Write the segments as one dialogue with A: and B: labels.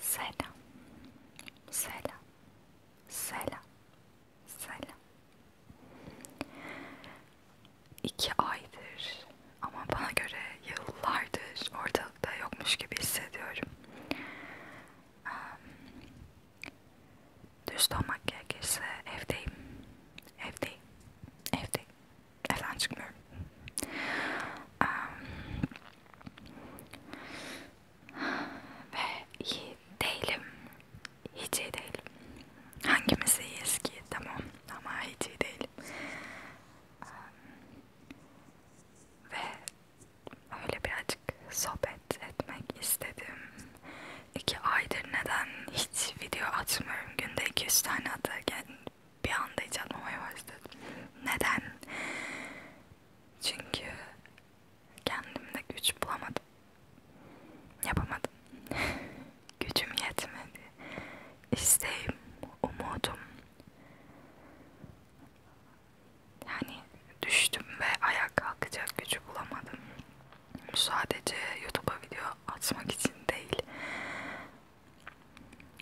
A: Selam. Selam. Selam. Selam. İki aydır ama bana göre yıllardır ortalıkta yokmuş gibi hissediyorum. Düz olmak gerekirse evdeyim. Evdeyim. Evdeyim evden çıkmıyorum. Ee, ve iyi değilim. Hiç iyi değilim. Hangimiz iyiyiz ki? Tamam ama hiç iyi değilim. Ee, ve öyle birazcık sohbet etmek istedim. İki aydır neden hiç video atmıyorum. Günde 200 tane atı bir anda hiç atmamayı başladım. Neden? Çünkü kendimde güç bulamadım. Yapamadım. Gücüm yetmedi. İsteğim, umudum. Yani düştüm ve ayağa kalkacak gücü bulamadım. Bu sadece YouTube'a video atmak için değil.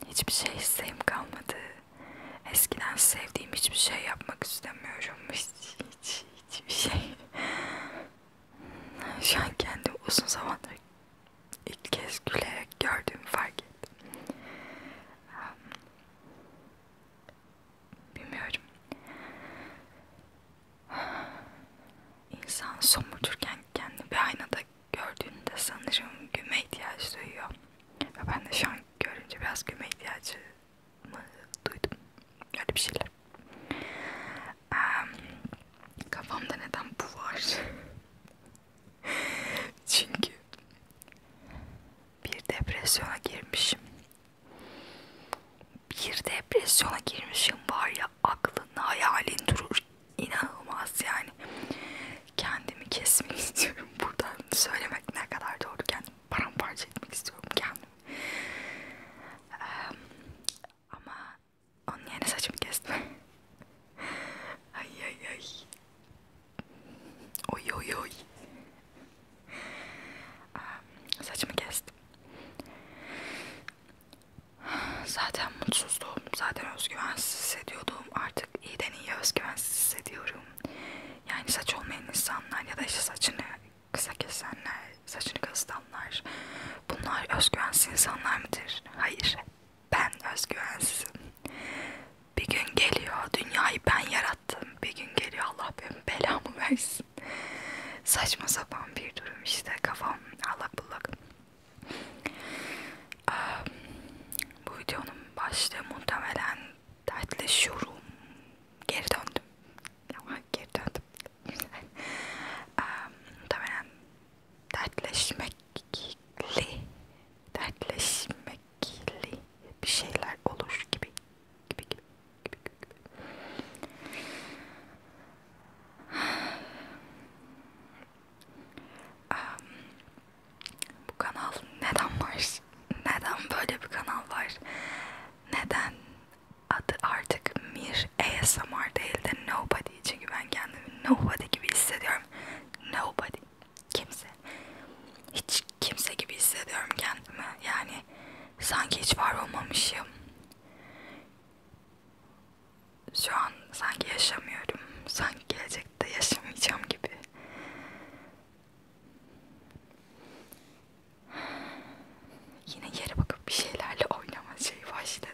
A: Hiçbir şey isteğim kalmadı. Eskiden sevdiğim hiçbir şey yapmak istemiyorum. Hiç, hiç, hiçbir şey. Şu an kendimi uzun zamandır ilk kez gülerek gördüğümü fark ettim. Hmm. Bilmiyorum. İnsan somurturken kendini bir aynada gördüğünde sanırım güme ihtiyaç duyuyor. Ve ben de şu an görünce biraz güme ihtiyacı mı duydum. Öyle bir şeyler. Um, kafamda neden bu var? Çünkü bir depresyona girmişim. Bir depresyona girmişim var ya aklın hayalin durur inanılmaz yani kendimi kesmek istiyorum buradan söylemek ne kadar doğru kendimi paramparça etmek istiyorum kendimi ee, ama onun yerine saçımı kestim ay ay ay oy oy oy ee, saçımı kestim zaten mutsuzluğum zaten özgüvensiz hissediyordum artık artık iyiden iyi özgüvensiz hissediyorum. Yani saç olmayan insanlar ya da işte saçını kısa kesenler, saçını kazıtanlar bunlar özgüvensiz insanlar mıdır? Hayır. Ben özgüvensizim. Bir gün geliyor dünyayı ben yarattım. Bir gün geliyor Allah benim belamı versin. Saçma sapan bir durum işte kafam allak bullak. Ee, bu videonun başlığı muhtemelen dertleşiyorum. Geri döndüm. Ama geri döndüm. ee, muhtemelen dertleşmekli dertleşmekli bir şeyler olur gibi. Gibi gibi. gibi, gibi. Ee, bu kanal neden var? Neden böyle bir kanal var? Neden adı artık Mir ASMR değil de Nobody çünkü ben kendimi Nobody gibi hissediyorum. Nobody. Kimse. Hiç kimse gibi hissediyorum kendimi. Yani sanki hiç var olmamışım şu an sanki yaşamıyorum, sanki gelecekte yaşamayacağım gibi. Yine yere bakıp bir şeylerle oynama şeyi başladı.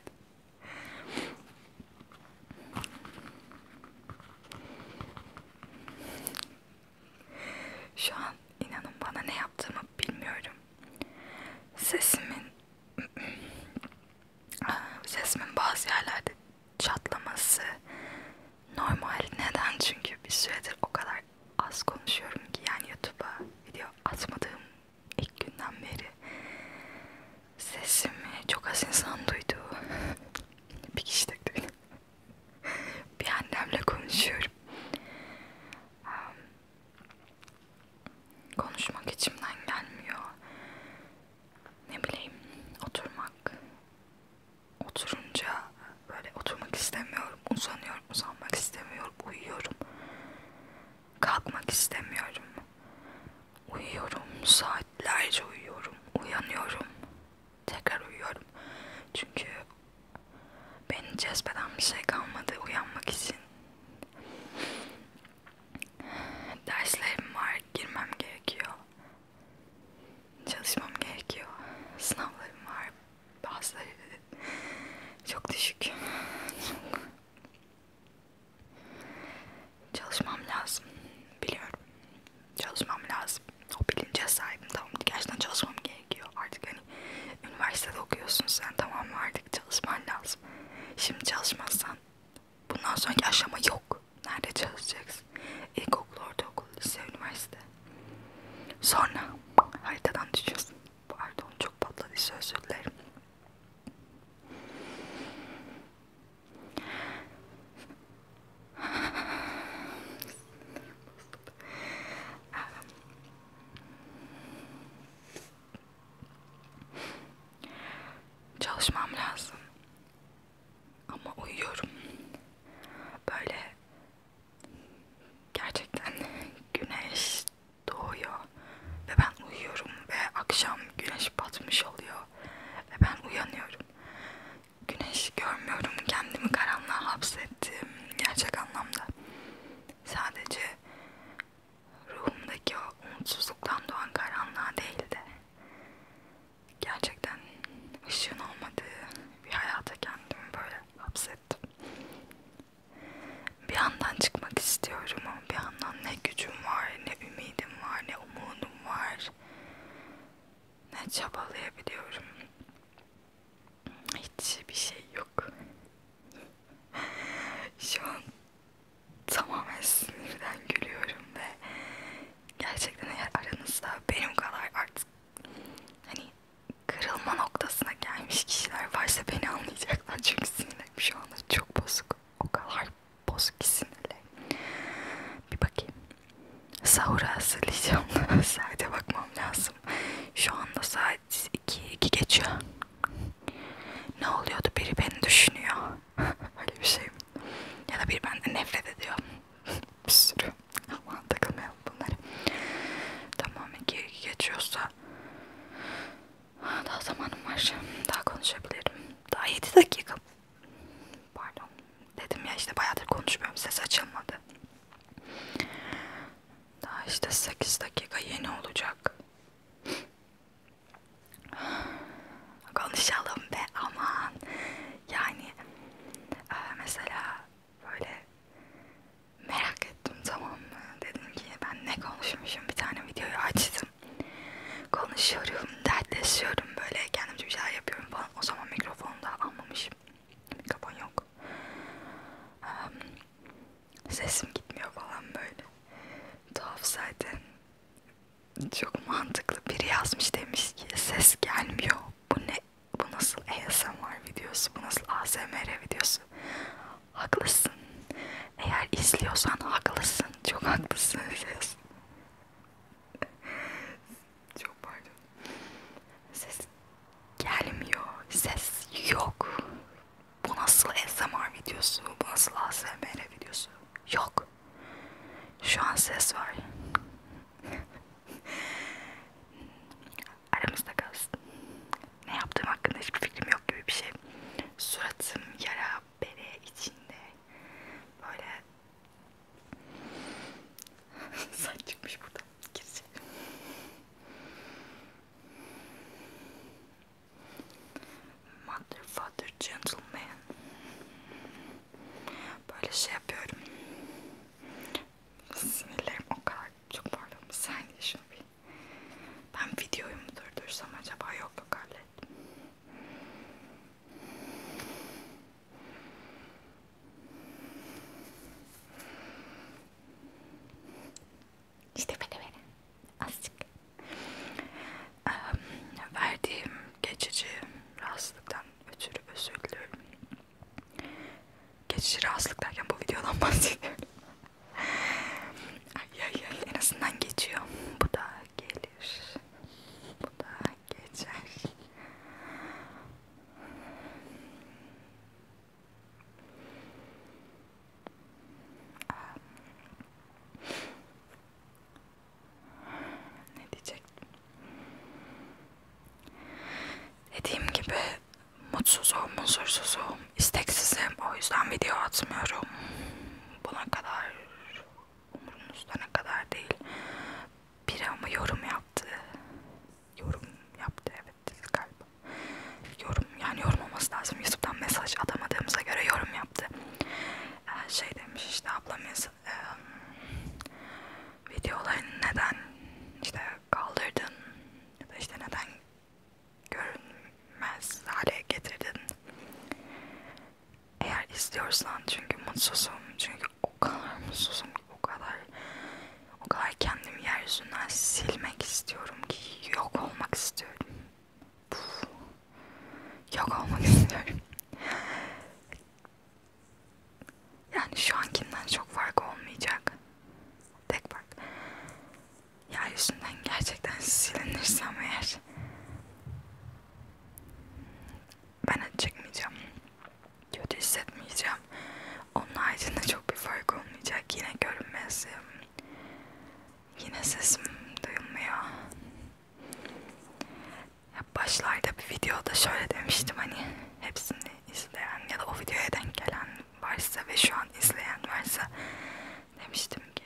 A: Şu an inanın bana ne yaptığımı bilmiyorum. Sesimin sesimin bazı yerlerde çatlaması normal. Neden? Çünkü bir süredir o kadar az konuşuyorum ki yani YouTube'a video atmadığım ilk günden beri sesimi çok az insan duydu. bir kişi de duydu. bir annemle konuşuyorum. Konuşmak içimden gelmiyor ne bileyim oturmak oturunca böyle oturmak istemiyorum uzanıyorum uzanmak istemiyorum uyuyorum kalkmak istemiyorum uyuyorum saatlerce uyuyorum uyanıyorum tekrar uyuyorum çünkü beni cezbeden bir şey kalmadı uyanmak için Derslerim var, girmem gerekiyor. Çalışmam gerekiyor. Sınavlarım var. Bazıları çok düşük. Çalışmam lazım. Biliyorum. Çalışmam lazım. O bilince sahibim. Tamam gerçekten çalışmam gerekiyor. Artık hani üniversitede okuyorsun sen tamam artık çalışman lazım. Şimdi çalışmazsan Bundan sonraki aşama yok. Nerede çalışacaksın? İlkokul, ortaokul, lise, üniversite. Sonra haritadan düşüyorsun. Pardon çok patladı söz dilerim. Çalışmam lazım. Ama uyuyorum. Böyle gerçekten güneş doğuyor ve ben uyuyorum ve akşam güneş batmış oluyor ve ben uyanıyorum. Güneş görmüyorum. Kendimi karanlığa hapsettim gerçek anlamda. Sadece ruhumdaki o umutsuzluktan doğan karanlığa değil de gerçekten ışığın olmadığı bir hayata kendimi böyle hapsettim. Bir yandan çıkmak istiyorum ama bir yandan ne gücüm var, ne ümidim var, ne umudum var. Ne çabalayabiliyorum. Hiçbir şey yok. Şu an tamamen sinirden gülüyorum ve gerçekten eğer aranızda benim kadar artık hani kırılma noktasına gelmiş kişiler varsa beni anlayacaklar çünkü sinirlerim şu anda çok bozuk o kadar bozuk ki sinirlerim bir bakayım sahura hazırlayacağım saate bakmam lazım şu anda saat 2, 2 geçiyor ne oluyordu biri beni düşünüyor Öyle bir şey. Ya da bir benden nefret ediyor. bir sürü. Aman takılmayalım bunları. Tamam iki geçiyorsa daha zamanım var. Daha konuşabilirim. Daha 7 dakika. Pardon. Dedim ya işte bayağıdır konuşmuyorum. Ses açılmadı. Daha işte 8 dakika yeni olacak konuşalım be aman yani e, mesela böyle merak ettim tamam mı dedim ki ben ne konuşmuşum bir tane videoyu açtım konuşuyorum dertleşiyorum böyle kendimce bir şeyler yapıyorum falan o zaman mikrofonu da almamışım mikrofon yok e, sesim gitmiyor falan böyle tuhaf zaten çok mantıklı biri yazmış demiş ki ses gelmiyor. Bu ne? Bu nasıl ASMR videosu? Bu nasıl ASMR videosu? Haklısın. Eğer izliyorsan haklısın. Çok haklısın. Ses. Çok pardon. Ses gelmiyor. Ses yok bu nasıl ASMR videosu, bu nasıl ASMR videosu? Yok. Şu an ses var. Aramızda kalsın. Ne yaptığım hakkında hiçbir fikrim yok gibi bir şey. Suratım yara bere içinde. Böyle saç çıkmış buradan. Gireceğim. Mother, father, gentleman. Böyle şey yapıyorum. Sinirlerim o kadar çok pardon. Bir saniye şunu bir. Ben videoyu mu durdursam acaba yok yok hallettim. İşte böyle böyle. Azıcık. Ee, verdiğim geçici rahatsızlıktan ötürü özür diliyorum. Geçici rahatsızlık derken bu videodan bahsediyorum. ay ay ay en azından geçiyor. Bu da gelir. Bu da geçer. Ne diyecektim? Dediğim gibi mutsuzum, huzursuzum, isteksizim. O yüzden video atmıyorum. Buna kadar umurumuzda ne kadar değil. Biri ama yorum yaptı. Yorum yaptı evet galiba. Yorum yani yorum olması lazım. YouTube'dan mesaj atamadığımıza göre yorum yaptı yaptı. Ee, şey demiş işte ablam e, videolarını neden işte kaldırdın ya da işte neden görünmez hale getirdin. Eğer istiyorsan çünkü mutsuzum çünkü o kadar mutsuzum o kadar o kadar kendimi yeryüzünden silmek istiyorum ki yok olmak istiyorum Puf. yok olmak istiyorum. Yani şu ankinden çok fark olmayacak. Tek fark. Yeryüzünden gerçekten silinirsem eğer ben acı çekmeyeceğim. Kötü hissetmeyeceğim. Onun haricinde çok bir fark olmayacak. Yine görünmezim. Yine sesim duyulmuyor. Ya başlarda bir videoda şöyle demiştim hani hepsini izleyen ya da o videoya denk gelen varsa ve şu an izleyen varsa demiştim ki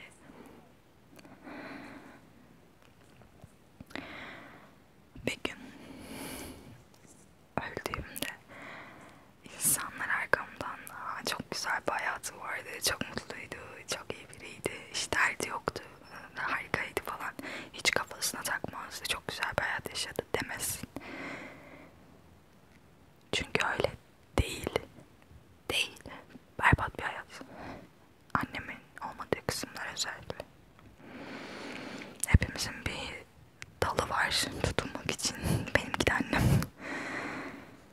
A: bir gün öldüğümde insanlar arkamdan Aa, çok güzel bir hayatı vardı, çok mutluydu, çok iyi biriydi, hiç derdi yoktu, harikaydı falan, hiç kafasına takmazdı, çok güzel bir hayat yaşadı demesin. Çünkü öyle değil, değil, berbat bir hayat. Annemin olmadığı kısımlar özellikle. Hepimizin bir dalı var tutulmak için. Benimki de annem.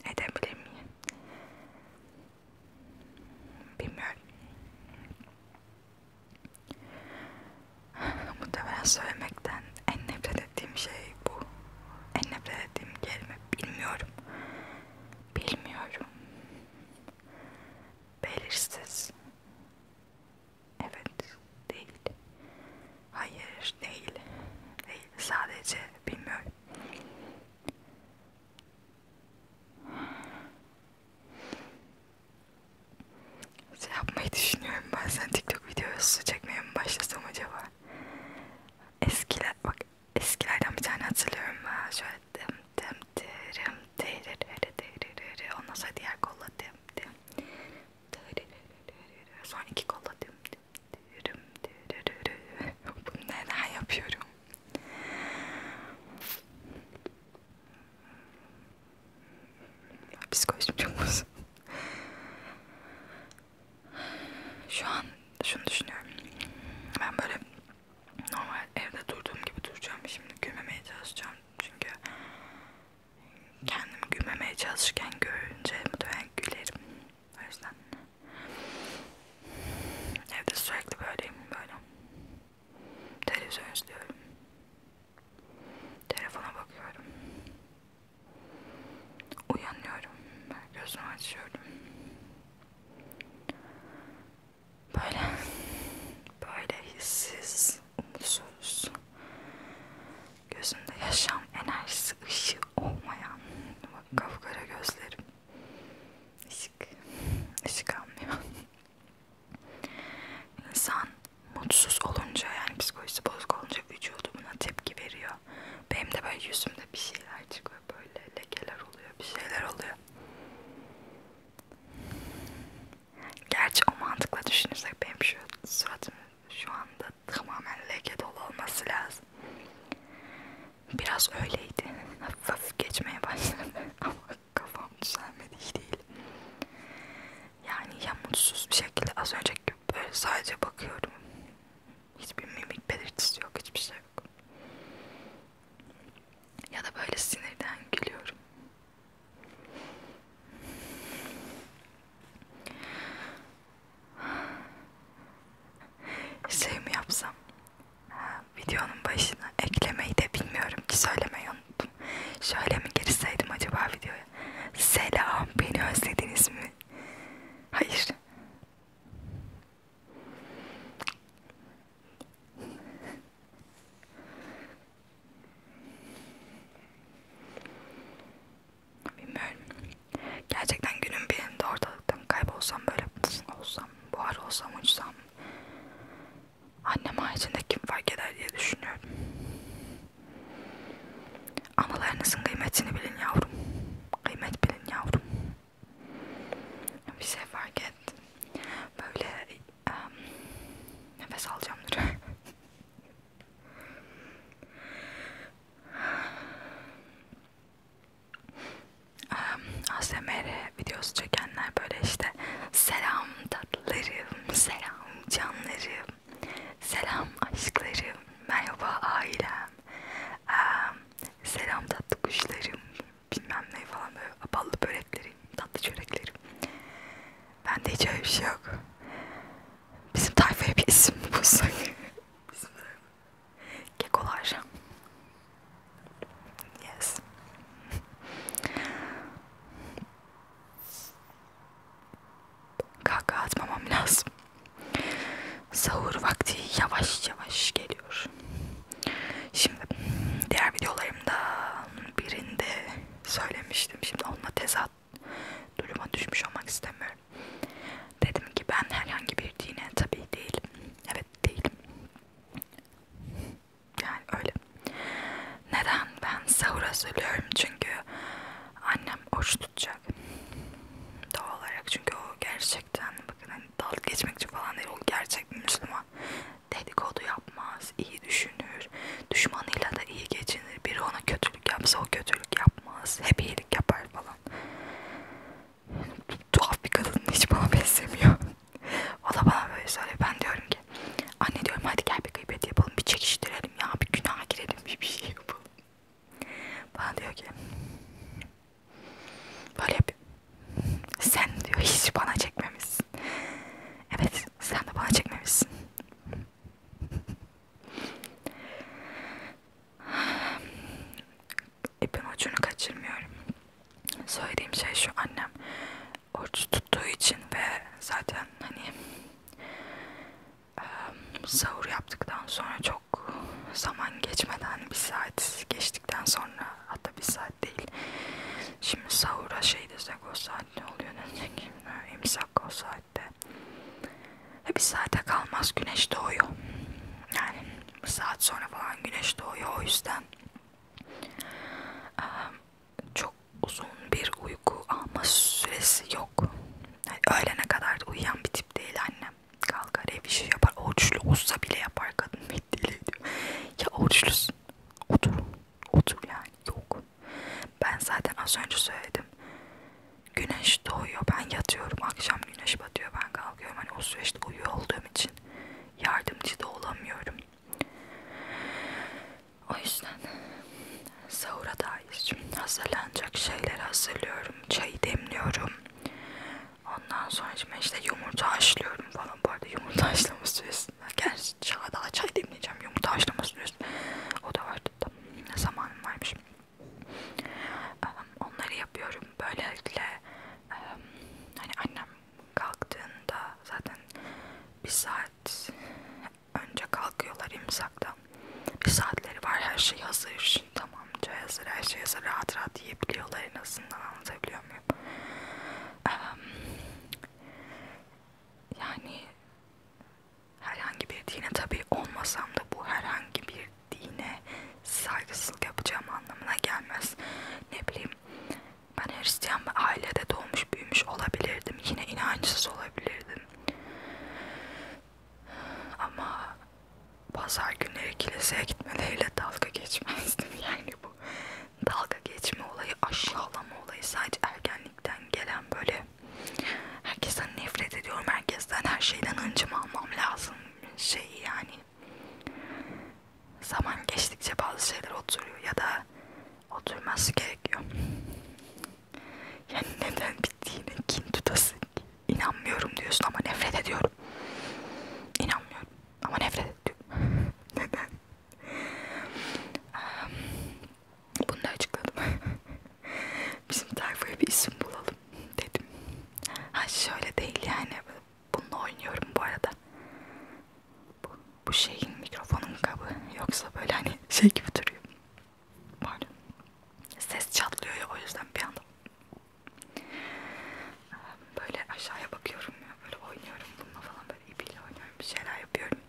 A: edebilir miyim? Bilmiyorum. Muhtemelen söylemekten en nefret ettiğim şey bu. En nefret ettiğim kelime bilmiyorum. Bilmiyorum. Belirsiz. Evet, değil. Hayır değil. Değil. Sadece bilmiyorum. Şey yapmayı düşünüyorum bazen TikTok videosu çekmeye mi başlasam acaba? Eskiler bak eskilerden bir tane hatırlıyorum ben şöyle dem dem derim dererere dererere ondan sonra diğer kolla dem dem dererere sonra iki kolla dem dem bunu neden yapıyorum? Psikolojim çok bozuldu. Şu an şunu düşünüyorum. Ben böyle normal evde durduğum gibi duracağım. Şimdi gülmemeye çalışacağım. Çünkü kendimi gülmemeye çalışırken görünce mutlaka gülerim. O yüzden evde sürekli böyleyim böyle. Televizyon izliyorum. Telefona bakıyorum. Uyanıyorum. Gözümü açıyorum. Böyle böyle hissiz, umutsuz. Gözümde yaşam enerjisi, ışığı olmayan bak kafkara gözlerim ışık ışık almıyor insan mutsuz olunca yani psikolojisi bozuk olunca vücudu buna tepki veriyor benim de böyle yüzümde bir şeyler çıkıyor böyle lekeler oluyor bir şeyler oluyor gerçi o mantıkla düşünürsek benim şu suratımın şu anda tamamen leke dolu olması lazım. Biraz öyleydi. Hafif hafif geçmeye başladı ama kafam düzelmedi hiç değil. Yani ya mutsuz bir şekilde az önceki gibi böyle sadece bakıyorum. Hiçbir mimik belirtisi yok, hiçbir şey yok. Ya da böyle sinirden gülüyorum. Şey mi yapsam? Ha, videonun başına eklemeyi de bilmiyorum ki söylemeyi unuttum. Şöyle mi girseydim acaba videoya? Selam, beni özlediniz mi? Hayır. Bilmiyorum. Gerçekten günün birinde ortalıktan kaybolsam böyle pıf, olsam, buhar olsam, uçsam annem haricinde kim fark eder diye düşünüyorum. Anılarınızın kıymetini bilin yavrum. Kıymet bilin yavrum. Bir şey fark ettim. Böyle um, nefes alacağım dur. ASMR videosu çekenler böyle işte selam tatlılarım, selam canlarım, selam aşklarım, merhaba ailem, selam tatlı kuşlarım, bilmem ne falan böyle ballı böreklerim, tatlı çöreklerim. Bende hiç öyle bir şey yok. Bizim tayfaya bir isim mi bulsak? Kekolar. Yes. Kaka atmamam lazım. Sahur vakti yavaş yavaş geliyor. Şimdi diğer videolarımda birinde söylemiştim. Şimdi onunla tezat duruma düşmüş olmak istemiyorum. Dedim ki ben herhangi bir dine tabii değilim. Evet değilim. Yani öyle. Neden ben sahura söylüyorum? Çünkü annem oruç tutacak. Doğal olarak çünkü o gerçekten bakın hani dalga geçmekçi falan değil. O gerçek bir Müslüman. Dedikodu yapmaz, iyi düşünür. Düşmanıyla da iyi geçinir. Biri ona kötülük yapsa o kötülük yapmaz yapmaz. Hep iyilik yapar falan. Tuhaf bir kadın hiç bana benzemiyor. o da bana böyle söylüyor. Ben diyorum ki anne diyorum hadi gel bir gıybet yapalım. Bir çekiştirelim ya. Bir günaha girelim. Bir, bir şey yapalım. Bana diyor ki böyle bir sen diyor hiç bana çekmemişsin. Evet sen de bana çekmemişsin. İpin ucunu kaçırmıyorum. Söylediğim şey şu annem oruç tuttuğu için ve zaten hani e, sahur yaptıktan sonra çok zaman geçmeden bir saat geçtikten sonra hatta bir saat değil. Şimdi sahura şey desek o saat ne oluyor desek imsak o saat saatte. E bir saate kalmaz güneş doğuyor. Yani bir saat sonra falan güneş doğuyor. O yüzden ehm, çok uzun bir uyku alma süresi yok. Yani öğlene kadar da uyuyan bir tip değil annem. Kalkar ev işi yapar. Oruçlu olsa bile yapar kadın. Diyor. Ya oruçlusun. Otur. Otur yani. Yok. Ben zaten az önce söyledim. Güneş doğuyor ben yatıyorum akşam güneş batıyor ben kalkıyorum hani o süreçte uyuyor olduğum için yardımcı da olamıyorum. O yüzden sahura dair hazırlanacak şeyleri hazırlıyorum. Çayı demliyorum. Ondan sonra işte yumurta haşlıyorum falan. Bu arada yumurta haşlama süresinde. Gerçi çay daha çay demleyeceğim. Yumurta haşlama süresi. O da vardı. Tam ne zamanım varmış. Ehm, onları yapıyorum. Böylelikle ehm, hani annem kalktığında zaten bir saat önce kalkıyorlar imsakta. Bir saatleri var her şey hazır. Tamamca hazır her şey hazır. Rahat rahat yiyebiliyorlar en azından anlatabiliyor muyum? Ehm, yani herhangi bir dine tabi olmasam da bu herhangi bir dine saygısızlık yapacağım anlamına gelmez. Ne bileyim ben Hristiyan bir ailede doğmuş büyümüş olabilirdim. Yine inançsız olabilirdim. Ama pazar günleri kiliseye gitmeleriyle dalga geçmezdim. Yani bu dalga geçme olayı aşağılama olayı sadece ergenlikten gelen böyle gibi. Herkesten nefret ediyorum. Herkesten her şeyden hıncımı almam lazım. Şey yani. Zaman geçtikçe bazı şeyler oturuyor ya da oturması gerekiyor. Yani neden bittiğine kin tutasın ki. İnanmıyorum diyorsun ama nefret ediyorum. İnanmıyorum ama nefret ediyorum. neden? Bunu da açıkladım. Bizim tayfaya bir isim bulalım dedim. Ha şöyle değil yani. Bununla oynuyorum bu arada. Bu, bu şeyin mikrofonun kabı. Yoksa böyle hani şey gibi duruyor. Böyle. Ses çatlıyor ya o yüzden bir anda. Böyle aşağıya bakıyorum ya. Böyle oynuyorum bununla falan. Böyle ipiyle oynuyorum. Bir şeyler yapıyorum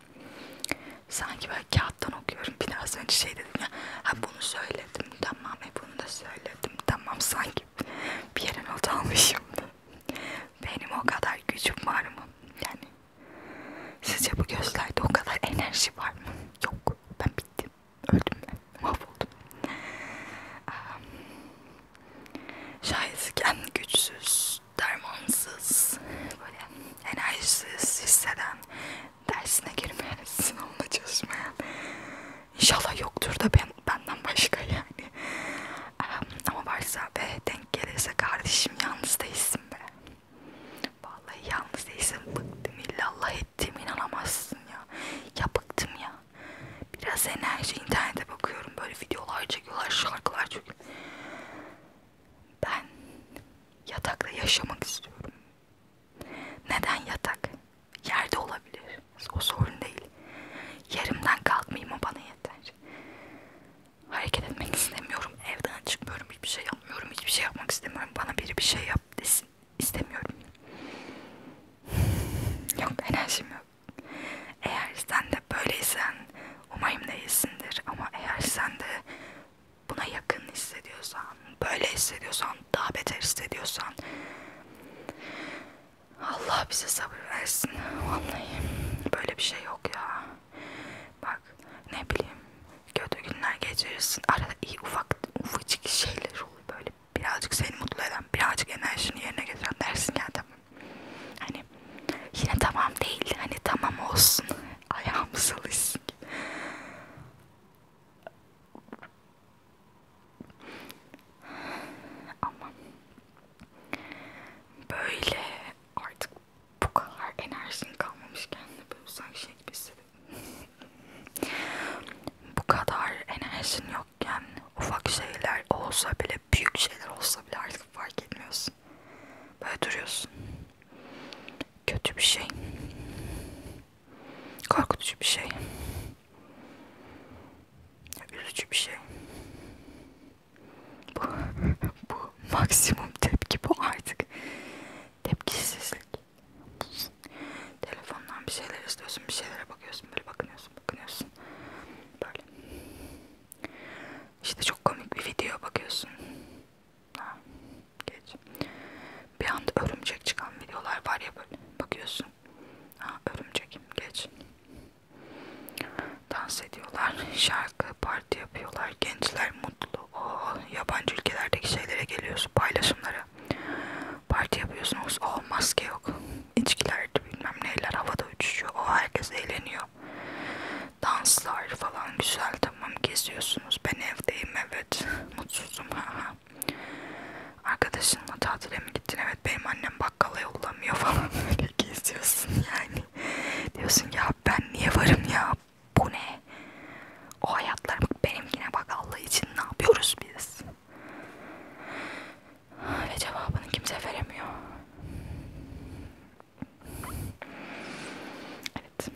A: Sanki böyle kağıttan okuyorum. Biraz önce şey dedim ya. Ha bunu söyledim tamam. E bunu da söyledim tamam. Sanki bir yere not almışım. Benim o kadar gücüm var mı? Yani sizce bu gözlerde o kadar enerji var mı? Yok. Ben bittim. Öldüm ben. Mahvoldum. Um, şayet kendi güçsüz dermansız, böyle enerjisiz hisseden, dersine girmeyen, sınavına çalışmayan inşallah yoktur da ben, benden başka yani ama varsa ve denk gelirse kardeşim yalnız değilsin be vallahi yalnız değilsin bıktım illallah ettim inanamazsın ya ya bıktım ya biraz enerji internete bakıyorum böyle videolar çekiyorlar şarkılar çekiyor ben yatakta yaşamak istiyorum. Neden yatak? Yerde olabilir. O sorun değil. Yerimden kalkmayayım o bana yeter. Hareket etmek istemiyorum. Evden çıkmıyorum. Hiçbir şey yapmıyorum. Hiçbir şey yapmak istemiyorum. Bana biri bir şey yap desin. istemiyorum. yok enerjim yok. Eğer sen de böyleysen umarım değilsindir ama eğer sen de buna yakın hissediyorsan, böyle hissediyorsan, daha beter hissediyorsan Allah bize sabır versin. Vallahi böyle bir şey yok ya. Bak ne bileyim kötü günler geçirirsin. Arada iyi ufak ufacık şeyler olur böyle. Birazcık seni mutlu eden, birazcık enerjini yerine getiren dersin ya tamam. Hani yine tamam değil. Hani tamam olsun. Ayağımız alışsın. Ama böyle artık bu kadar enerjin kalmamış kendine böyle sanki şey gibi bu kadar enerjin yokken ufak şeyler olsa bile büyük şeyler olsa bile artık fark etmiyorsun. Böyle duruyorsun kötü bir şey. Korkutucu bir şey. Üzücü bir şey. Bu, bu maksimum tepki bu artık. Tepkisizlik. Telefondan bir şeyler istiyorsun, bir şeylere bakıyorsun, böyle bakınıyorsun, bakınıyorsun. Böyle. İşte çok komik bir video bakıyorsun. Ha, geç. Bir anda örümcek çıkan videolar var ya böyle bakıyorsun. Ha, örümcek geç. Dans ediyorlar, şarkı, parti yapıyorlar. Gençler mutlu. Oo, oh, yabancı ülkelerdeki şeylere geliyorsun, paylaşımlara. Parti yapıyorsunuz. O oh, maske yok. İçkiler bilmem neler havada uçuşuyor. O oh, herkes eğleniyor ya. Danslar falan güzel tamam geziyorsunuz. Ben evdeyim evet. Mutsuzum. Arkadaşınla tatile mi gittin? Evet benim annem bakkala yollamıyor falan. Böyle geziyorsun yani. Diyorsun ya ben niye varım ya? Bu ne? O hayatlar benimkine bak Allah için ne yapıyoruz biz? Ve cevabını kimse veremiyor. Evet.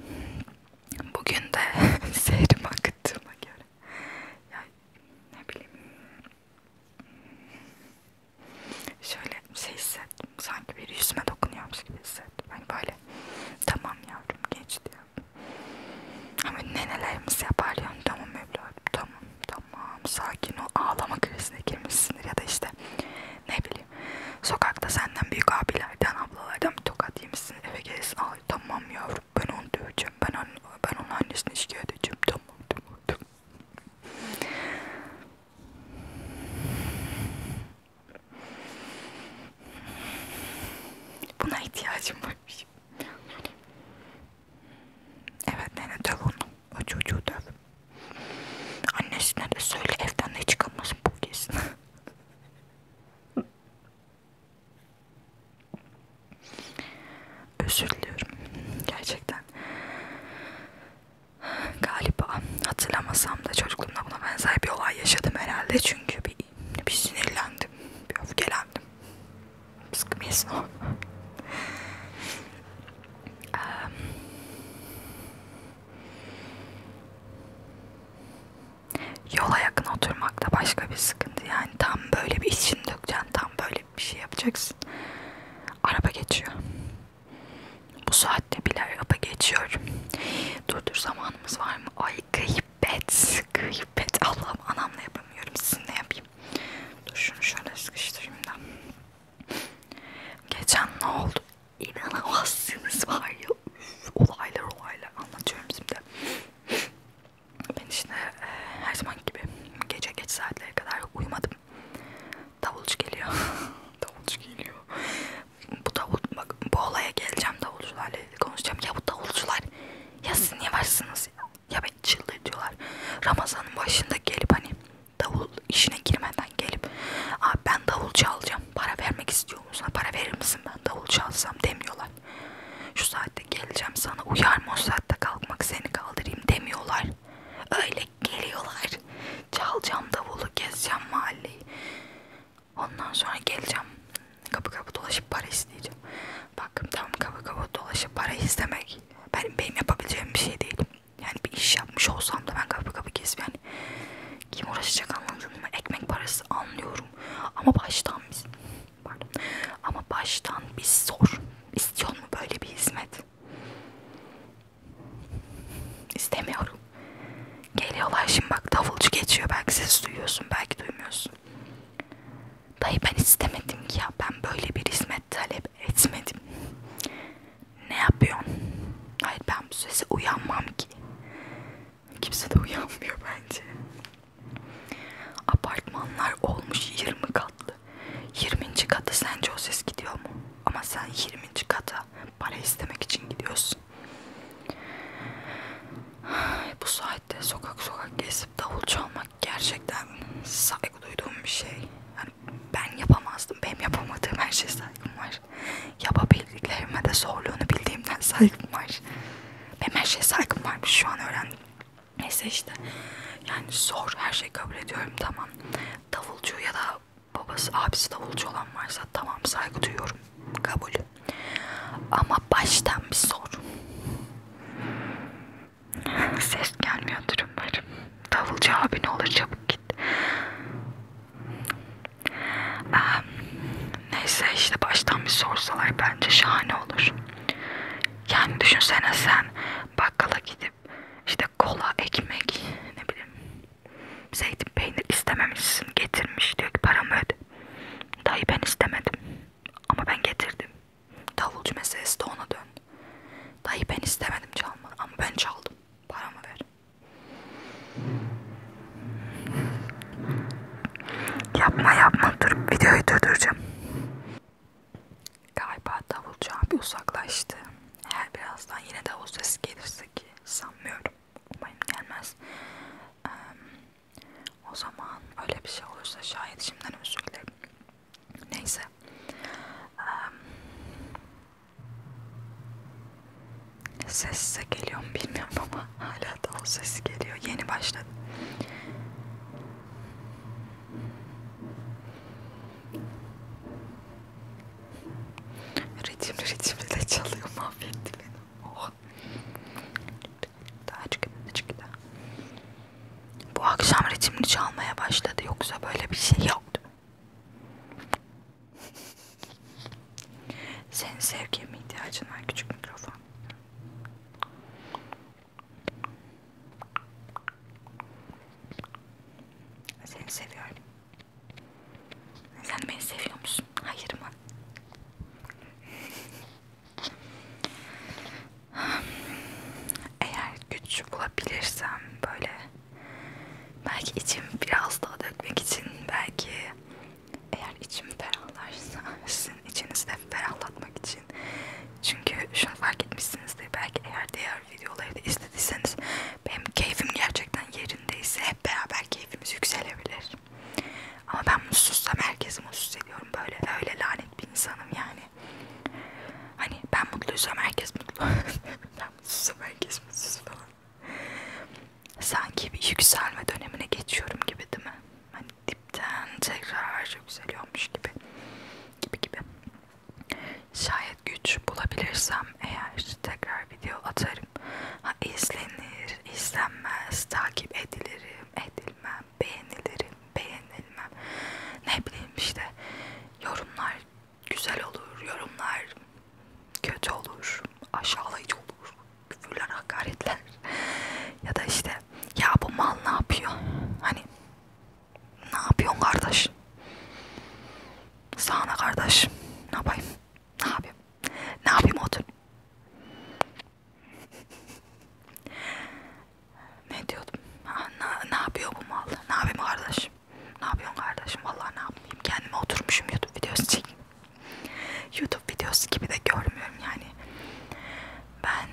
A: Bugün de seyrime akıttığıma göre. Ya ne bileyim. Şöyle şey hissettim. Sanki bir yüzüme dokunuyormuş gibi hissettim. Hani böyle tamam yavrum geç diyor. Ama nenelerimiz yapar yani tamam evladım tamam tamam sakin ol ağlama krizine girmişsindir ya da işte ne bileyim Sokakta senden büyük abilerden, ablalardan bir tokat yemişsin. Eve gelirsin. Ay tamam yavrum ben onu döveceğim. Ben, anne, ben onun annesini şikayet edeceğim. Tamam tamam tamam. Buna ihtiyacım varmış. Evet nene döv onu. O çocuğu döv. Annesine de söyle evden de çıkamasın bu kesin. Özür diliyorum. Gerçekten. Galiba hatırlamasam da çocukluğumda buna benzer bir olay yaşadım herhalde. Çünkü bir, bir sinirlendim. Bir öfkelendim. Sıkmayasın o. Yola yakın oturmakta başka bir sıkıntı yani tam böyle bir işini dökeceksin, tam böyle bir şey yapacaksın. Araba geçiyor. Bu saatte bile araba geçiyor. Dur dur zamanımız var mı? Ay gıybet, gıybet. Allah'ım anamla yapamıyorum, sizinle yapayım. Dur şunu şöyle sıkıştırayım da. Geçen ne oldu? İnanamazsınız var ya. Üf, olaylar olaylar anlatıyorum şimdi. Ben işte e, her zaman gibi gece geç saatlere kadar uyumadım. Davulcu geliyor. davulcu geliyor. Bu davul bak bu olaya geleceğim davulcularla konuşacağım. Ya bu davulcular ya siz niye varsınız ya? Ya beni çıldırtıyorlar. Ramazanın başında gelip hani davul işine girmeden gelip abi ben davul çalacağım para vermek istiyor musun para verir misin ben davul çalsam demiyorlar şu saatte geleceğim sana uyar mı o saatte kalkmak seni kaldırayım demiyorlar öyle geliyorlar çalacağım davulu gezeceğim mahalleyi ondan sonra geleceğim kapı kapı dolaşıp para isteyeceğim bak tam kapı kapı dolaşıp para istemek benim, benim yapabileceğim bir şey değil yani bir iş yapmış olsam da ben kapı kapı gezip yani kim uğraşacak anladın mı? Ekmek parası anlıyorum. Ama baştan biz pardon. Ama baştan biz sor. İstiyor mu böyle bir hizmet? İstemiyorum. Geliyorlar şimdi bak davulcu geçiyor. Belki ses duyuyorsun, belki duymuyorsun. Dayı ben istemedim ki ya. Ben böyle bir hizmet talep etmedim. Ne yapıyorsun? Hayır ben bu sese uyanmam ki. Kimse de uyanmıyor bence. Apartmanlar olmuş 20 katlı. 20. kata sence o ses gidiyor mu? Ama sen 20. kata para istemek için gidiyorsun. Bu saatte sokak sokak gezip davul çalmak gerçekten saygı duyduğum bir şey. Yani ben yapamazdım. Benim yapamadığım her şeye saygım var. Yapabildiklerime de zorluğunu bildiğimden saygım var. Benim her şeye saygım varmış şu an öğrendim. Neyse işte yani zor her şeyi kabul ediyorum tamam. Davulcu ya da babası abisi davulcu olan varsa tamam saygı duyuyorum kabul. Ama baştan bir sor. Ses gelmiyor durumlarım. Davulcu abi ne olur çabuk değil. Ee, neyse işte baştan bir sorsalar bence şahane olur. Yani düşünsene sen bakkala gidip işte kola, ekmek, ne bileyim zeytin peynir istememişsin getirmiş diyor ki paramı öde. Dayı ben istemedim ama ben getirdim. Davulcu meselesi de ona dön. Dayı ben istemedim çalmanı ama ben çaldım. Paramı ver. Yapma yapma dur videoyu durduracağım. Galiba davulcu abi uzaklaştı. Eğer birazdan yine davul sesi gelirse ki sanmıyorum. Umarım gelmez. Ee, o zaman öyle bir şey olursa şayet şimdiden özür dilerim. Neyse. Ee, ne sesse geliyor mu bilmiyorum ama hala da o sesi geliyor. Yeni başladı. Ritimli ritimli de çalıyor mahvetti beni. Oh. Daha çık, çık daha. Bu akşam ritimli çalmaya başladı yoksa böyle bir şey yoktu. Senin sevgiye mi ihtiyacın var küçük mikrofon? Seni seviyorum. Sen beni seviyor musun? Hayır mı? Eğer güç bulabilirsem böyle Belki içim biraz daha dökmek için, belki eğer içim ferahlarsa sizin içinizde ferahlatmak için. Çünkü şunu fark etmişsinizdir, belki eğer diğer videoları da istediyseniz benim keyfim gerçekten yerindeyse hep beraber keyfimiz yükselebilir. Ama ben mutsuzsam herkesi mutsuz ediyorum böyle öyle lanet bir insanım yani. Hani ben mutluysam herkes mutlu. aramsız merkezsiz falan. Sanki bir yükselme dönemine geçiyorum gibi değil mi? Hani dipten tekrar yükseliyormuş gibi. Gibi gibi. Şayet güç bulabilirsem eğer tekrar video atarım. Ha izlenir, izlenmez, takip edilirim, edilmem, beğenilirim, beğenilmem. Ne bileyim işte yorumlar güzel olur, yorumlar kötü olur, aşağılayıcı olur, küfürler, hakaretler ya da işte ya bu mal ne yapıyor? Hani ne yapıyorsun kardeş? Sağına kardeş. Ne yapayım? Ne yapayım? Ne yapayım otur? ne diyordum? Ha, ne, ne yapıyor bu mal? Ne yapayım kardeş? Ne yapıyorsun kardeşim? Vallahi ne yapayım? Kendime oturmuşum YouTube videosu çekeyim. YouTube videosu gibi de görmüyorum yani. Ben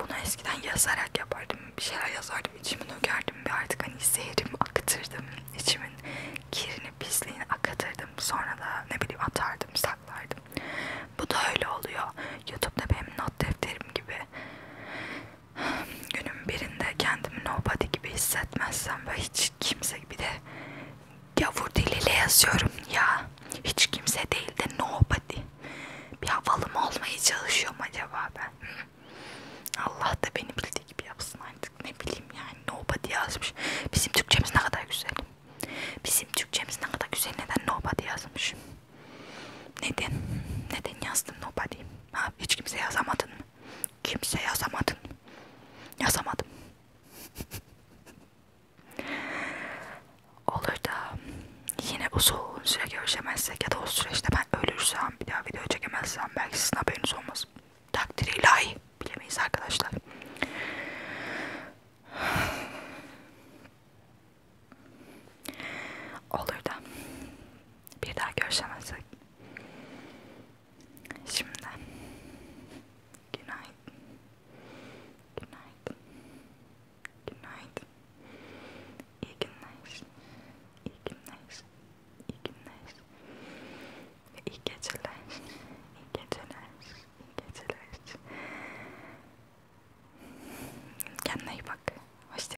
A: bunu eskiden yazarak yapardım. Bir şeyler yazardım, içimi dökerdim ve artık hani zehrim akıtırdım. İçimin kirini, pisliğini akıtırdım. Sonra da ne bileyim atardım, saklardım. Bu da öyle oluyor. YouTube'da benim not defterim gibi günün birinde kendimi nobody gibi hissetmezsem ve hiç kimse gibi de gavur diliyle yazıyorum ya hiç kimse değil de nobody bir havalı mı olmaya çalışıyorum acaba ben Allah da beni bildiği gibi yapsın artık ne bileyim yani nobody yazmış bizim Türkçemiz ne kadar güzel bizim Türkçemiz ne kadar güzel neden nobody yazmış neden neden yazdım nobody Ha, hiç kimse yazamadın mı? Kimse yazamadın mı? Yazamadım. Olur da yine uzun süre görüşemezsek ya da o süreçte ben ölürsem bir daha video çekemezsem belki sizin haberiniz olmaz. Takdir ilahi bilemeyiz arkadaşlar. Olur da bir daha görüşemezsek. Şimdi günaydın. Günaydın. Günaydın. İyi günler. İyi günler. İyi günler. Ve iyi geceler. İyi geceler. İyi geceler. Kendine iyi bak. Hoşça